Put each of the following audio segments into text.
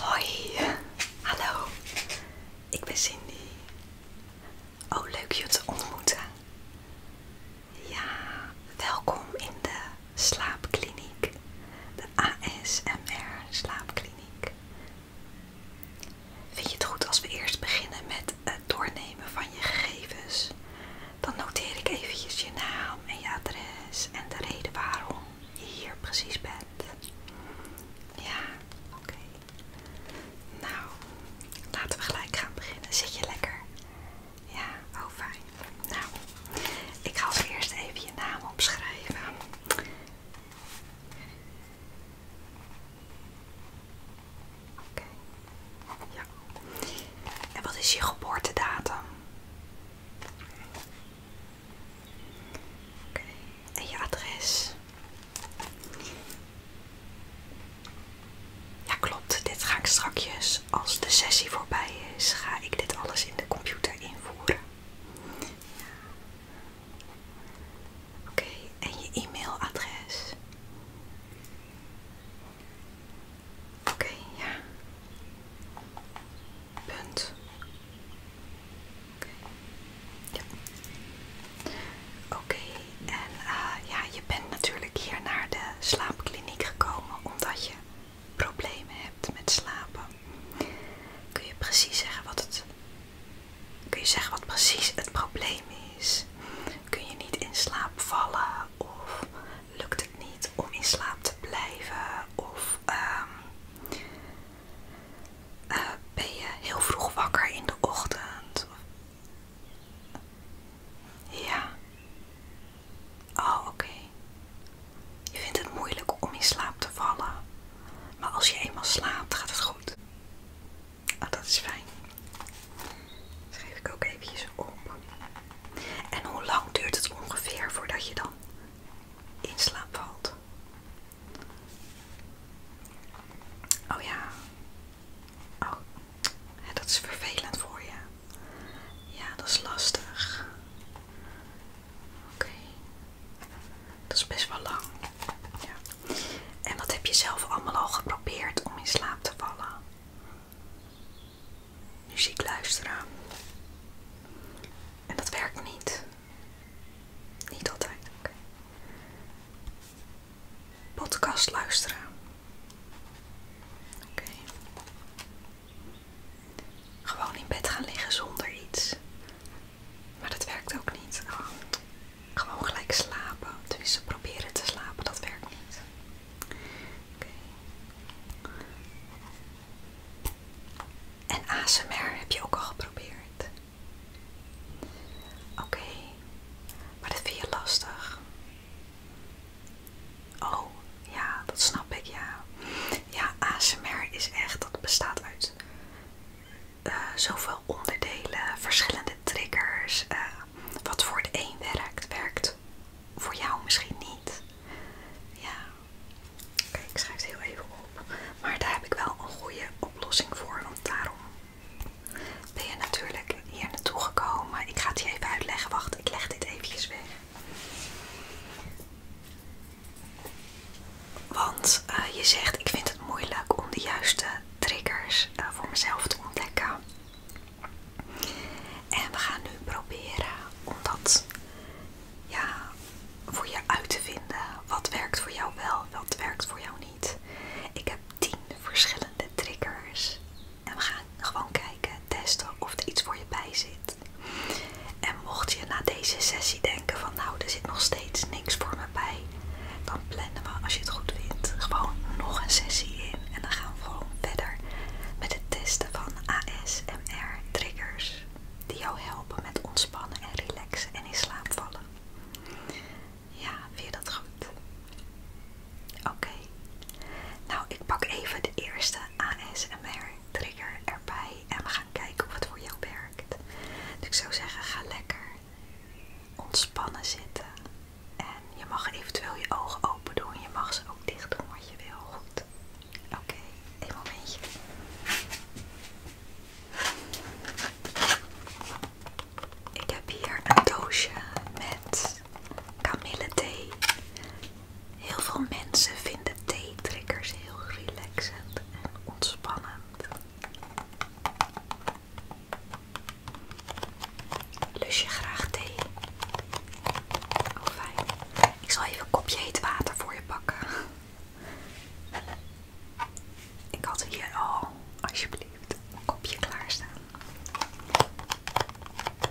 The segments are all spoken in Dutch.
Hoi, hallo, ik ben Cindy. Oh, leuk je te ontmoeten. Ja, welkom in de slaapkliniek, de ASMR slaapkliniek. Vind je het goed als we eerst beginnen met het doornemen van je gegevens? Dan noteer ik eventjes je naam en je adres en de reden waarom je hier precies bent. Ja, oké. Nou, laten we gelijk gaan beginnen. Zit je lekker? Ja, oh fijn. Nou, ik ga als eerst even je naam opschrijven. Oké. Ja. En wat is je geboortedatum? Oké, en je adres. Ja, klopt. Dit ga ik strakjes, als de sessie voorbij is, ga ik dit alles in de computer invoeren. Oké, en je e-mailadres. Oké, ja. Punt. Oké. Ja. Oké, en eh, ja, je bent natuurlijk hier naar de slaapkliniek gekomen omdat je problemen hebt met slapen. Kun je precies zeggen wat het Kun je zeggen wat precies het probleem is? Kun je niet in slaap vallen of lukt het niet om in slaap te blijven of ehm, eh, ben je heel vroeg wakker in de ochtend? Ja. Oh, oké. Je vindt het moeilijk om in slaap te vallen. Maar als je eenmaal slaapt, gaat het goed. Oh, dat is fijn. Schrijf ik ook eventjes op. En hoe lang duurt het ongeveer voordat je dan in slaap valt? Oh ja. Oh, dat is vervelend voor je. Ja, dat is lastig. Oké. Dat is best wel lang. En wat heb je zelf allemaal al geprobeerd om in slaap te vallen? muziek luisteren. En dat werkt niet. Niet altijd. Oké. Podcast luisteren. Oké. Gewoon in bed gaan liggen zonder iets. Maar dat werkt ook niet. Oh. Gewoon gelijk slapen. Tenminste, proberen te slapen, dat werkt niet. Oké. En ASMR heb je ook al geprobeerd. Oké, maar dat vind je lastig. Oh, ja, dat snap ik, ja. Ja, ASMR is echt, dat bestaat uit eh, zoveel onderdelen, verschillende triggers. Eh, wat voor de een werkt, werkt voor jou misschien niet. Ja. Oké, ik schrijf het heel even op. Maar daar heb ik wel een goede oplossing voor. Want daarom ben je natuurlijk hier naartoe gekomen. Ik ga het je even uitleggen. Wacht, ik leg dit eventjes weg. Want eh, je zegt, ik vind het moeilijk om de juiste triggers eh, voor mezelf te ontdekken. En we gaan nu proberen om dat voor je uit te vinden. Wat werkt voor jou wel, wat werkt voor jou niet. Ik heb 10 verschillende triggers. En we gaan gewoon kijken, testen of er iets voor je bij zit. En mocht je na deze sessie denken van nou, er zit nog steeds niks voor me bij. Dan plannen we, als je het goed vindt, gewoon nog een sessie in. En dan gaan we gewoon verder met het testen van AS. ASMR-triggers die jou helpen met ontspannen en relaxen en in slaap vallen. Ja, vind je dat goed? Oké. Nou, ik pak even de eerste ASMR-trigger erbij en we gaan kijken of het voor jou werkt. Dus ik zou zeggen, ga lekker ontspannen zitten. En je mag eventueel je ogen open doen. Je mag ze ook dicht doen wat je wil. Goed. Oké, een momentje. Ik heb hier een doosje met kamille Heel veel mensen vinden thee drinkers heel relaxend en ontspannend. Lus je graag thee? Ook oh, fijn. Ik zal even een kopje heet water voor je pakken. Ik had hier al, alsjeblieft, een kopje klaar staan.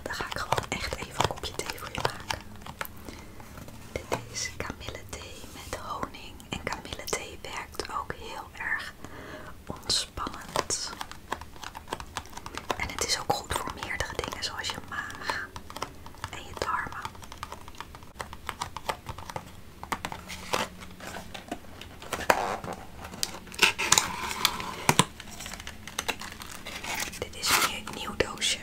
Dan ga ik gewoon echt even een kopje thee voor je maken. Dit is kamille met honing. En kamille werkt ook heel erg ontspannend. En het is ook goed voor meerdere dingen zoals je maag en je darmen. Dit is weer een nieuw doosje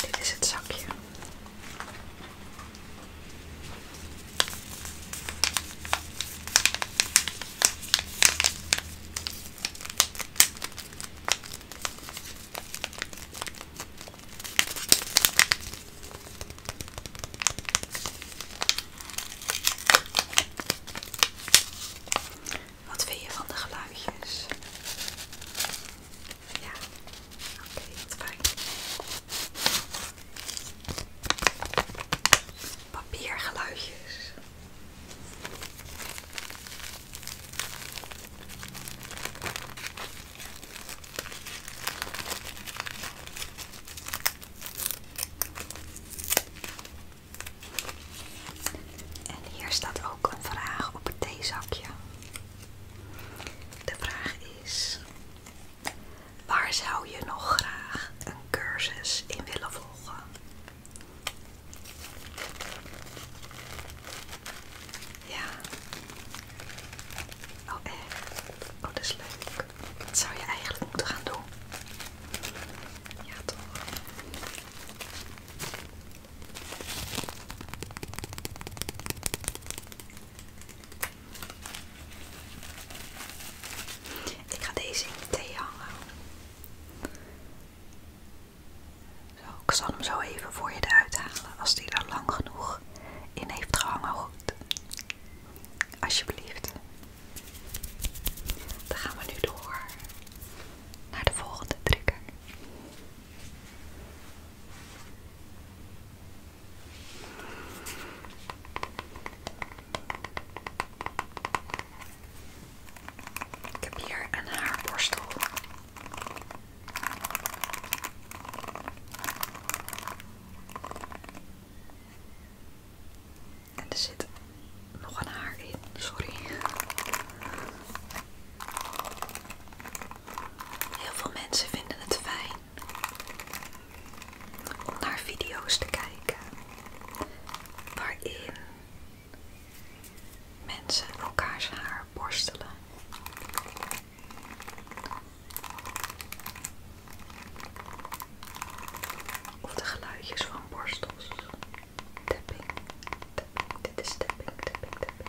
dit is het zakje. Wat vind je van de geluidjes? Ja, oké, okay, wat fijn. Papiergeluidjes. En hier staat ook een vraag op het theezakje. De vraag is: waar zou je nog graag een cursus in willen volgen? Ja. Oh echt? Oh dat is leuk. Wat zou je eigenlijk moeten gaan doen. Ja toch. Ik ga deze in de thee hangen. Zo, ik zal hem zo even voor je eruit halen als die er lang genoeg in heeft gehangen. Goed. Alsjeblieft. Dan gaan we nu door naar de volgende trigger. Ik heb hier een haarborstel. En er zit nog een haar in, sorry. Heel veel mensen vinden het fijn om naar video's te kijken waarin mensen elkaars haar borstelen. Of de geluidjes van borstels. Tapping, tapping, dit is tapping, tapping, tapping.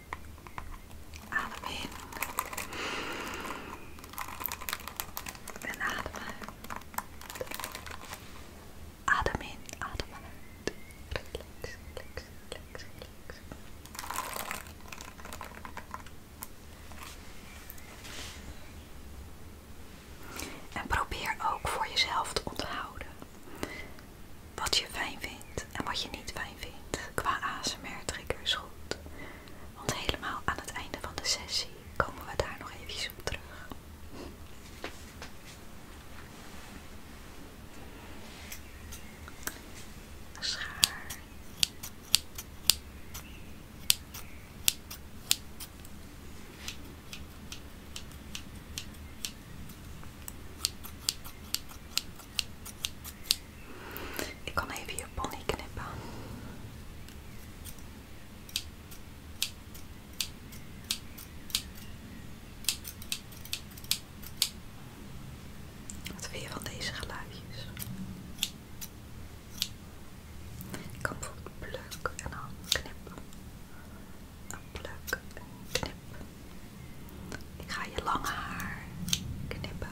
Adem in. En adem uit. Adem in, adem uit. Relax, relax, En probeer ook voor jezelf te onthouden wat je fijn vindt en wat je niet fijn vindt qua trigger is goed. Want helemaal aan het einde van de sessie komen we daar nog even op terug. Schaar. Ik kan even je pony knippen. Wat vind je van deze geluidjes? Ik kan bijvoorbeeld pluk en dan knippen. Een pluk en knip. Ik ga je lang haar knippen.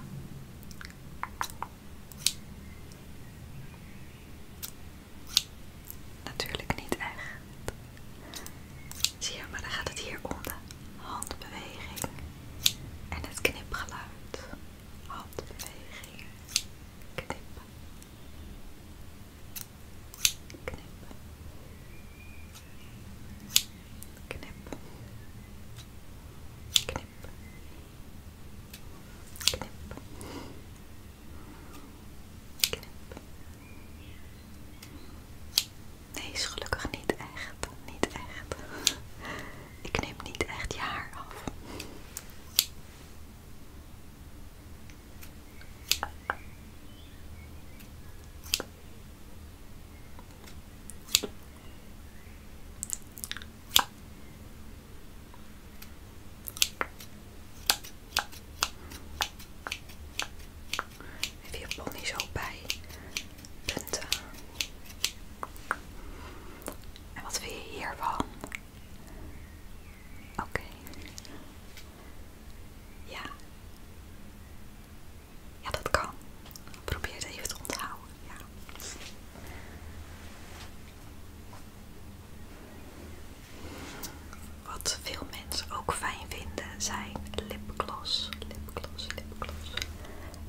Natuurlijk niet echt. Zie je, maar dan gaat het hier onder. handbeweging en het knipgeluid. Handbeweging, knippen. knippen. knippen. Nee, is gelukkig niet echt. Niet echt. Ik knip niet echt je haar af. Heb je pony zo bij En wat vind je hiervan? Oké. Ja. Ja, dat kan. Probeer het even te onthouden. Wat veel mensen ook fijn vinden zijn lipgloss, lipgloss, lipgloss.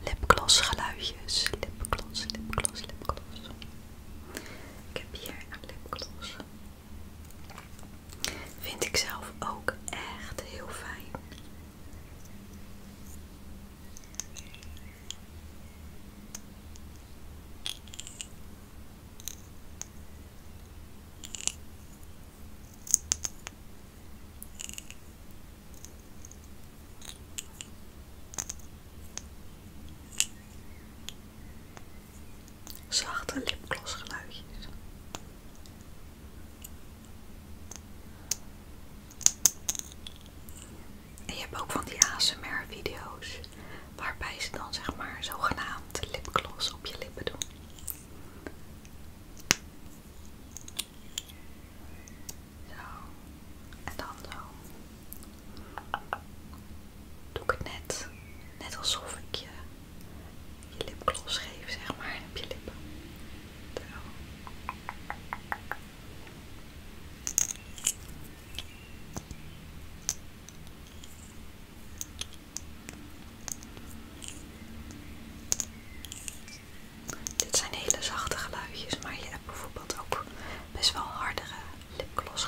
Lipgloss geluidjes, lipgloss, lipgloss, lipgloss. Ik heb hier een lipgloss. Vind ik zelf ook echt heel fijn. Zachte geluidjes. En je hebt ook van die ASMR video's waarbij ze dan zeg maar zogenaamd lipgloss op je lippen doen. Zo. En dan zo. Eh, doe ik het net. Net alsof ik je je lipgloss geef, zeg maar, op je lippen. Dit zijn hele zachte geluidjes, maar je hebt bijvoorbeeld ook best wel hardere lipgloss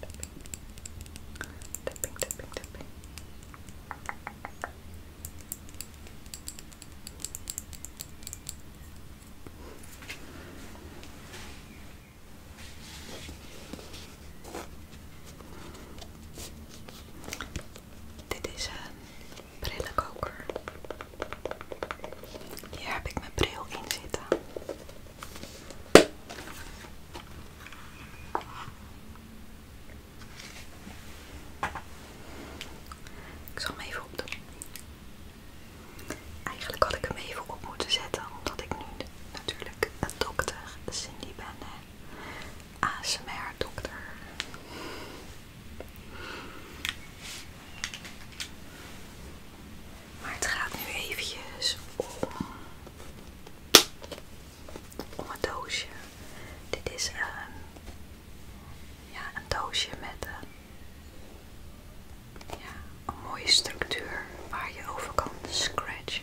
Tapping, tapping, tapping. Dit is een prille hier heb ik mijn bril in zitten. Ik zal hem even opdoen. Eigenlijk had ik hem even op moeten zetten, omdat ik nu natuurlijk een dokter Cindy ben. ASMR dokter. Maar het gaat nu eventjes om, om een doosje. Dit is een, ehm, ja, een doosje met een, ehm, een mooie structuur waar je over kan scratchen.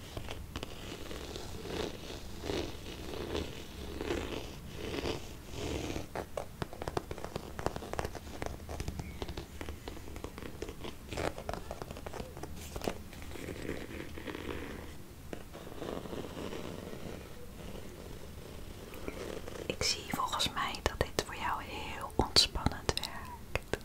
Ik zie volgens mij dat dit voor jou heel ontspannend werkt.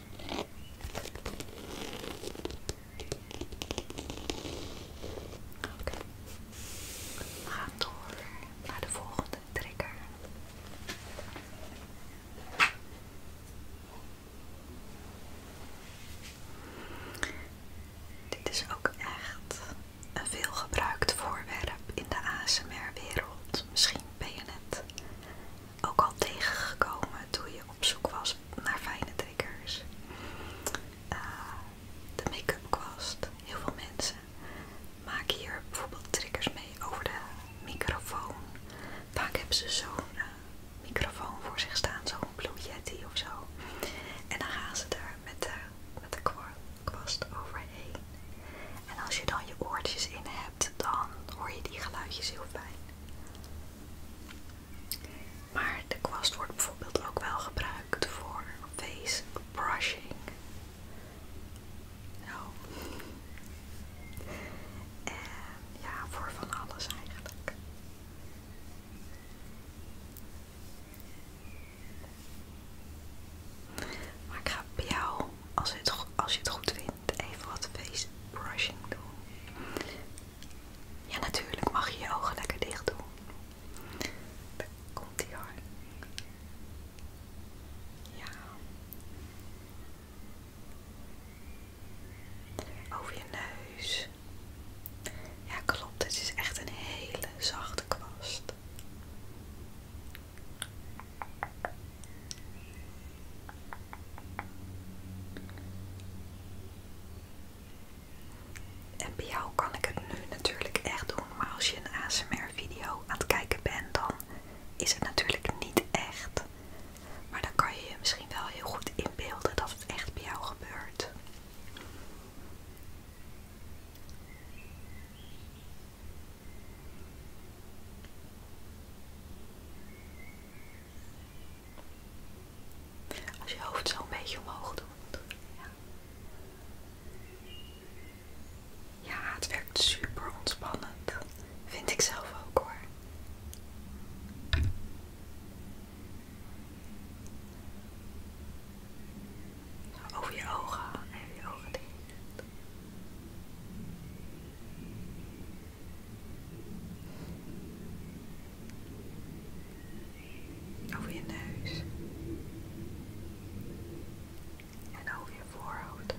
Oké. We gaan door naar de volgende trigger. Dit is ook echt een veelgebruikt voorwerp in de ASMR-wereld. Misschien ben je het ook al tegengekomen toen je op zoek was naar fijne triggers. Eh, de make-up kwast. Heel veel mensen maken hier bijvoorbeeld triggers mee over de microfoon. Vaak hebben ze zo'n eh, microfoon voor zich staan, zo'n Blue Yeti of zo. En dan gaan ze er met de, met de kwast overheen. En als je dan je oortjes in hebt, dan hoor je die geluidjes heel fijn. Maar de kwast wordt bijvoorbeeld ook wel gebruikt voor face brushing. Nou. En ja, voor van alles eigenlijk. Maar ik ga bij jou, als, als je het goed vindt, even wat face brushing doen. Ja, natuurlijk mag je je ogen lekker dicht doen. Daar komt hij hoor. Ja. Over je neus. Ja, klopt. Het is echt een hele zachte kwast. En bij jou kan ik het nu natuurlijk echt doen, maar als je een ASMR-video aan het kijken bent, dan is het natuurlijk niet echt. Maar dan kan je je misschien wel heel goed inbeelden dat het echt bij jou gebeurt. Als je hoofd zo een beetje omhoog doet. Ja, ja het werkt super ontspannend. Vind ik zelf ook hoor. Over je ogen en je ogen dicht. Over je neus. En over je voorhoofd.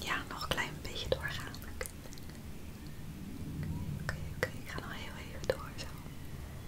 Ja, nog een klein beetje doorgaan. Oké, ik ga nog heel even door zo.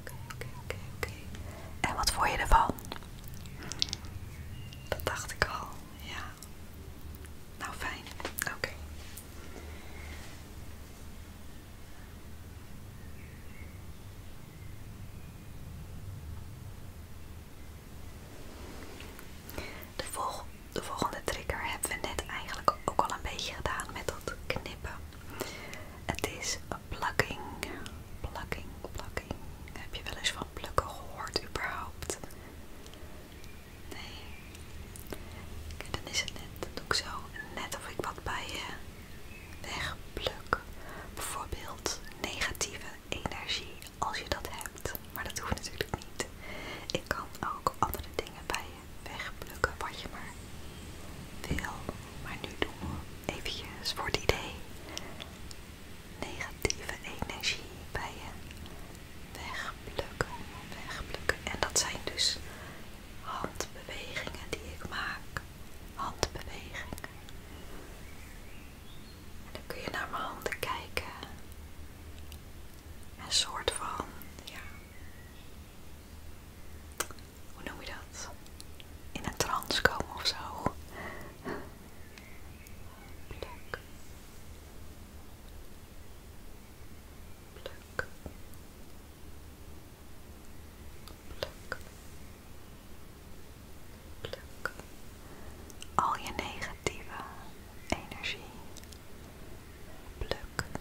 Oké, oké, oké, En wat vond je ervan? Dat dacht ik al, ja. Nou, fijn. Oké. De, volg de volgende trigger hebben we net eigenlijk ook al een beetje gedaan met dat knippen. Het is plucking. Plucking, plucking. Heb je wel eens van plukken gehoord überhaupt? Nee. dan is het net. ook doe ik zo net of ik wat bij je eh, wegpluk. Bijvoorbeeld negatieve energie als je dat hebt. Maar dat hoeft natuurlijk niet. Ik kan ook andere dingen bij je wegplukken wat je maar wil. Maar nu doen we eventjes voor die idee negatieve energie bij je wegplukken, wegplukken. En dat zijn dus handbewegingen die ik maak. Handbewegingen. En dan kun je naar mijn handen kijken. Een soort van, ja, hoe noem je dat? In een trance komen of zo. Pluk. Pluk. Pluk. Pluk. Al je negatieve energie. Pluk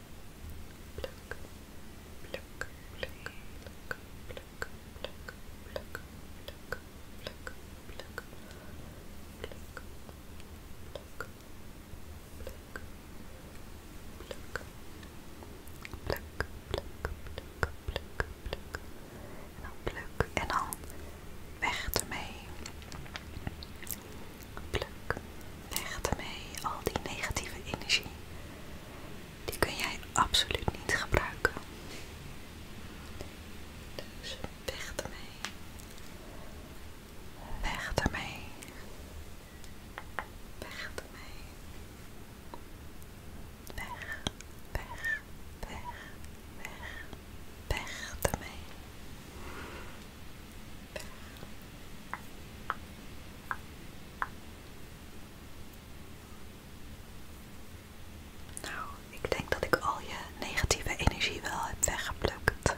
Pluk, pluk, pluk, pluk, pluk, pluk, pluk, pluk, pluk, pluk, pluk, pluk, pluk, pluk. Pluk, pluk, pluk, pluk, pluk. En dan pluk en dan weg ermee. pluk, Weg ermee, al die negatieve energie. Die kun jij absoluut niet gebruiken. Dus weg ermee. Weg ermee. Weg ermee. Weg, weg, weg, weg, weg ermee. Weg. Nou, ik denk dat ik al je negatieve energie wel heb weggeplukt.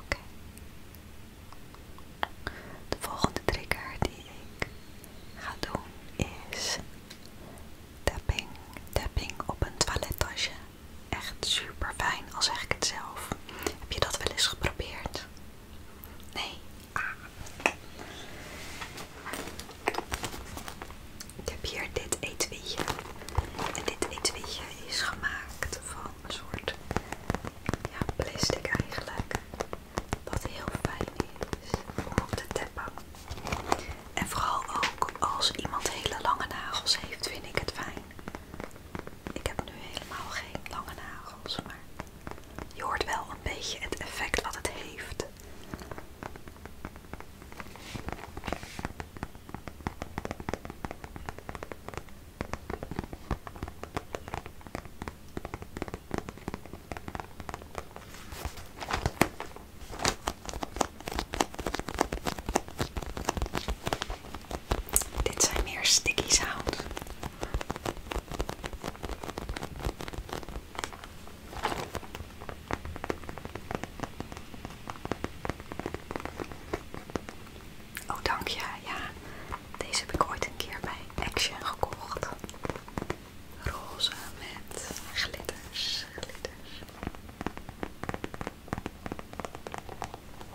Oké. De volgende trigger die ik ga doen is tapping, tapping op een toilettasje. Echt super fijn, al zeg ik het zelf. Heb je dat wel eens geprobeerd? Nee. Ah. Ik heb hier dit etuietje. En dit etuietje is gemaakt van een soort plastic eigenlijk. Wat heel fijn is om op te tappen. En vooral ook als iemand hele lange nagels heeft, vind ik het fijn. Ik heb nu helemaal geen lange nagels, maar je hoort wel een beetje het effect wat het heeft. Dit zijn meer sticky sound. Oh, dank je. Ja, deze heb ik ooit een keer bij Action gekocht. Roze met glitters, glitters.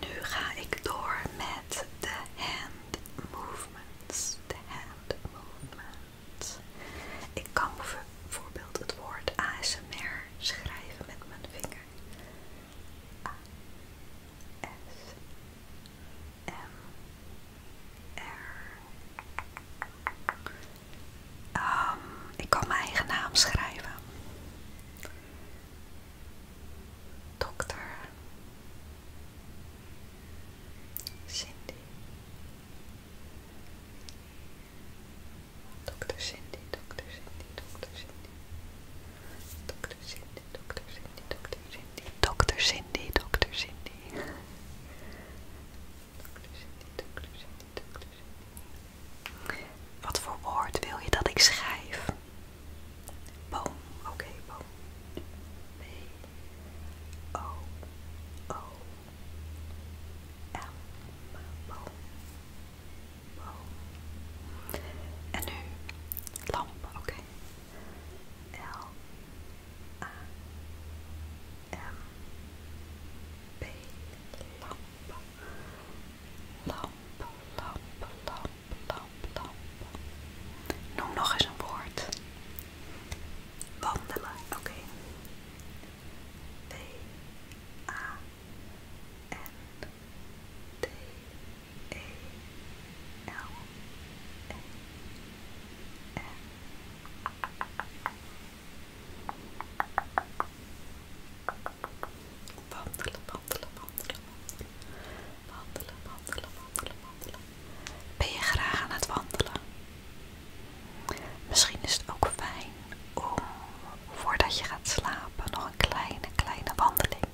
Nu ga ik door met de hand movements. De hand movements. Ik kan bijvoorbeeld het woord ASMR schrijven met mijn vinger. A S M R Ehm, ik kan mijn eigen naam schrijven. Dokter Cindy. Dokter Cindy, dokter Cindy, dokter Cindy. Dokter Cindy, dokter Cindy, dokter Cindy. Dokter Cindy, dokter Cindy. Wat voor woord wil je dat ik schrijf? Boom, oké, boom. B, O, O, L, boom, boom. En nu lamp, oké. L, A, M P lamp lamp lamp lamp lamp lamp noem nog eens een woord wandelen oké Wandelen, wandelen, wandelen. Wandelen, wandelen, wandelen, wandelen. Ben je graag aan het wandelen? Misschien is het ook fijn om voordat je gaat slapen nog een kleine, kleine wandeling.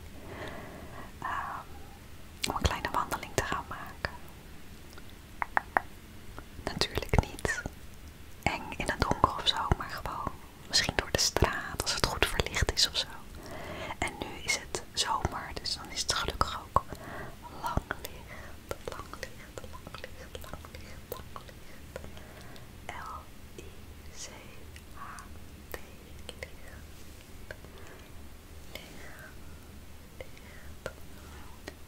Ehm, een kleine wandeling te gaan maken. Natuurlijk niet eng in het donker of zo, maar gewoon misschien door de straat als het goed verlicht is of zo. En nu is het zomer, dus dan is het gelukkig ook lang licht, lang licht, lang licht, lang licht, lang licht. L-I-C-H-T, licht, licht,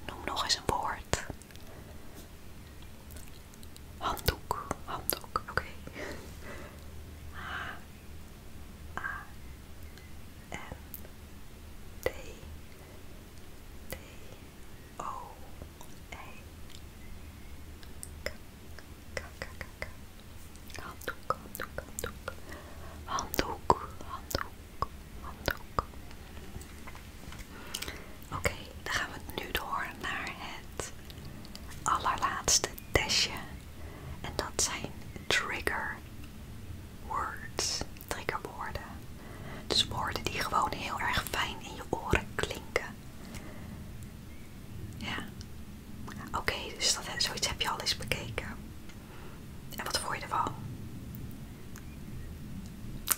Noem nog eens een woord Handdoek, handdoek, oké. Okay. H, A, N, D, D, O, E, K, K, K, K. Handdoek, handdoek, handdoek. Handdoek, handdoek, handdoek. Oké, dan gaan we nu door naar het allerlaatste testje. En dat zijn trigger words, triggerwoorden. Dus woorden die gewoon heel erg fijn in je oren klinken. Ja. Oké, dus dat, zoiets heb je al eens bekeken. En wat vond je ervan?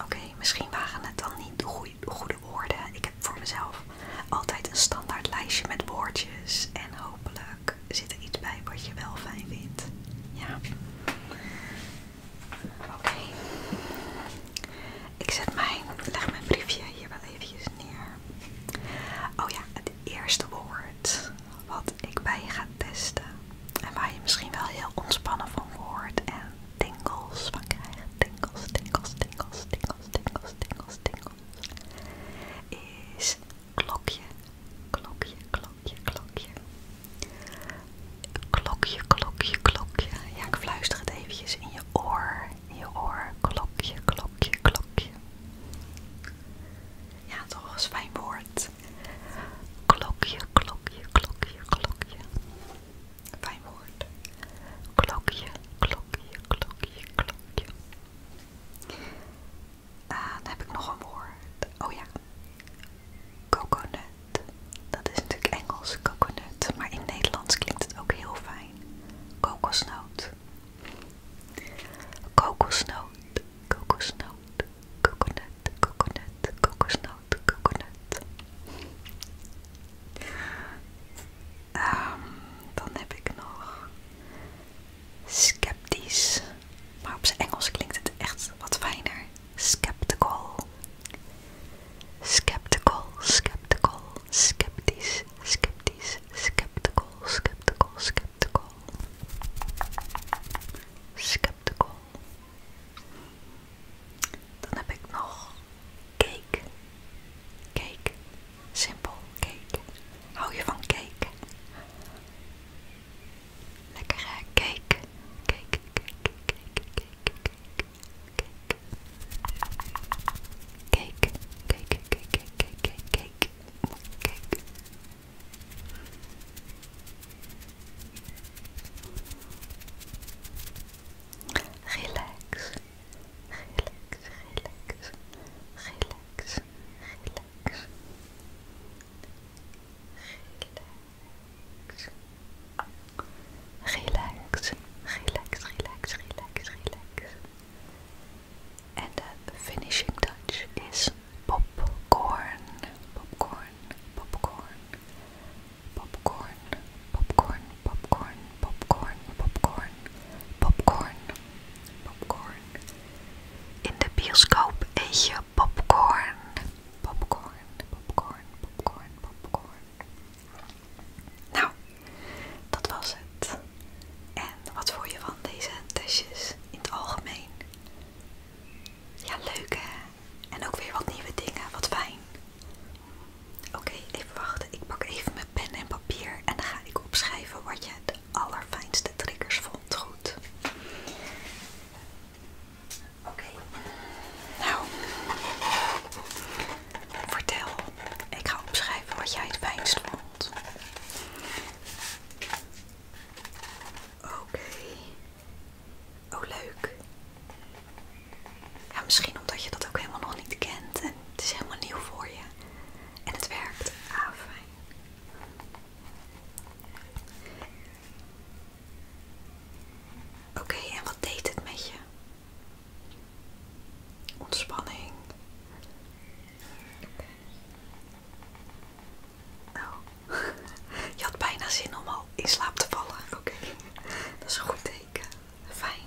Oké, misschien waren het dan niet de goede woorden. Ik heb voor mezelf altijd een standaard lijstje met woordjes. En hopelijk zit er iets bij wat je wel fijn vindt. Ja. Oké. Ik zet mijn, leg mijn briefje hier wel eventjes neer. Oh ja, het eerste woord wat ik bij ga testen en waar je misschien wel heel ontspannen van wordt en tingels van krijgt. Tingles, tingels, tingels, tingles, tingles, tingels, tingels. Is klokje, klokje, klokje, klokje. Klokje, klokje, klokje. Ja, ik fluister het eventjes in je oor. In je oor. Klokje, klokje, klokje. Ja, toch eens fijn woord. Klokje, klokje, klokje, klokje. Fijn woord. Klokje, klokje, klokje, klokje. Ah, dan heb ik nog een woord. Oh ja. Coconut. Dat is natuurlijk Engels, coconut. Maar in Nederlands klinkt het ook heel fijn. Kokosnoot. Kokosnoot. Kokosnoot. Kokonut coconut, kokosnoot, coconut. Um, dan heb ik nog sceptisch, maar op zijn Engels klinkt het echt wat fijner. Skeptical, skeptical, skeptical, sceptisch, sceptisch, skeptical, skeptical, skeptical, skeptical, dan heb ik nog cake. Cake. Simpel cake. Hou je van cake? lekker cake. Cake, cake, cake, cake, cake, cake. Cake, cake, cake, cake, cake, cake. Cake. Relax, relax, relax, relax, relax. Relax, relax, relax, relax, relax. En de finishing touch is popcorn, popcorn, popcorn, popcorn, popcorn, popcorn, popcorn, popcorn, popcorn, popcorn. In de bioscoop eet je popcorn, popcorn, popcorn, popcorn, popcorn. Nou, dat was het. En wat vond je van deze testjes in het algemeen? Ja, leuk hè? En ook weer wat nieuwe dingen, wat fijn. Oké, even wachten. Ik pak even mijn pen en papier en dan ga ik opschrijven wat je de allerfijnste triggers vond. Goed. Oké. Nou, vertel. Ik ga opschrijven wat jij het fijnst vond. Oké. Oh, leuk. Ja, misschien omdat je dat ook helemaal nog niet kent en het is helemaal nieuw voor je. En het werkt. Ah, fijn. Oké, en wat deed het met je? Ontspanning. Nou, je had bijna zin om al in slaap te vallen. Oké, dat is een goed teken. Fijn.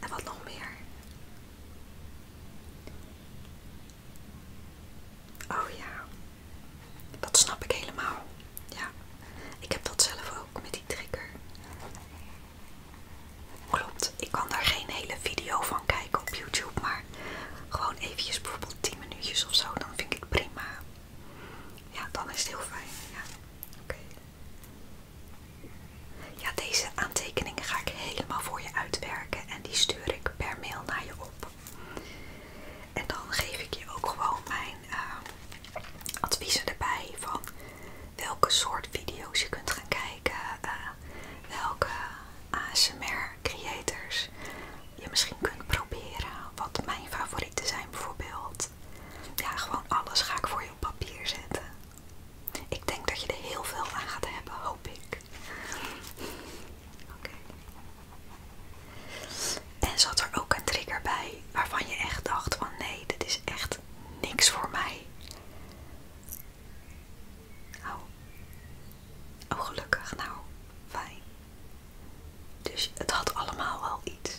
En wat nog meer? Oh ja, dat snap ik helemaal. Ja, ik heb dat zelf ook met die trigger. Klopt, ik kan daar geen hele video van kijken op YouTube, maar gewoon eventjes bijvoorbeeld 10 minuutjes of zo, dan vind ik het prima. Ja, dan is het heel fijn. Ja, deze aantekeningen ga ik helemaal voor je uitwerken en die stuur ik per mail naar je op. En dan geef ik je ook gewoon mijn ehm, adviezen erbij van welke soort video's je kunt gaan kijken, eh, welke ASMR creators je misschien kunt proberen. Wat mijn favorieten zijn bijvoorbeeld. Ja, gewoon alles ga ik voor je op papier zetten. Ik denk dat je er heel veel aan gaat hebben, hoop ik. Oké. En zat er ook een trigger bij waarvan je echt dacht van nee, dit is echt niks voor mij. Oh, oh gelukkig. Nou, fijn. Dus het had allemaal wel iets.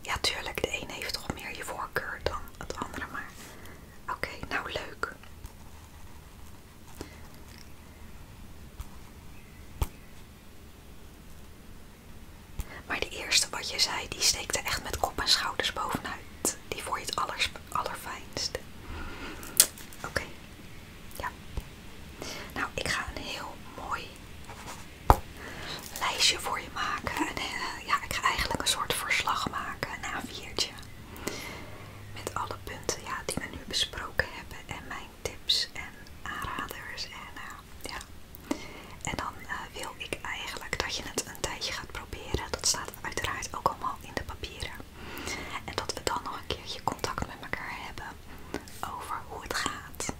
Ja, tuurlijk, de ene heeft toch meer je voorkeur dan het andere, maar oké, nou leuk. Maar de eerste wat je zei, die steekt echt met kop en schouders bovenuit. Die vond je het aller, allerfijnste. Oké. Ja. Nou, ik ga een heel mooi lijstje voor je maken. En, eh, ja, ik ga eigenlijk een soort verslag maken, een viertje Met alle punten ja, die we nu besproken hebben en mijn tips en aanraders. En, eh, ja. en dan eh, wil ik eigenlijk dat je het een tijdje gaat proberen. Dat staat uiteraard ook allemaal in de papieren. En dat we dan nog een keertje contact met elkaar hebben over hoe het gaat.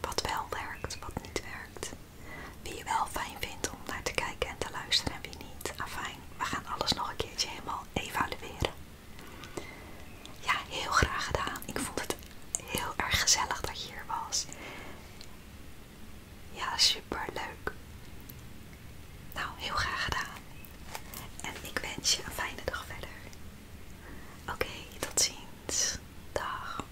Wat wel werkt, wat niet werkt. Wie je wel fijn vindt om naar te kijken en te luisteren en wie niet. fijn, we gaan alles nog een keertje helemaal evalueren. Ja, heel graag gedaan. Ik vond het heel erg gezellig dat je hier was. Ja, super leuk. Nou, heel graag gedaan. En ik wens je een fijne dag verder. Oké, tot ziens. Dag.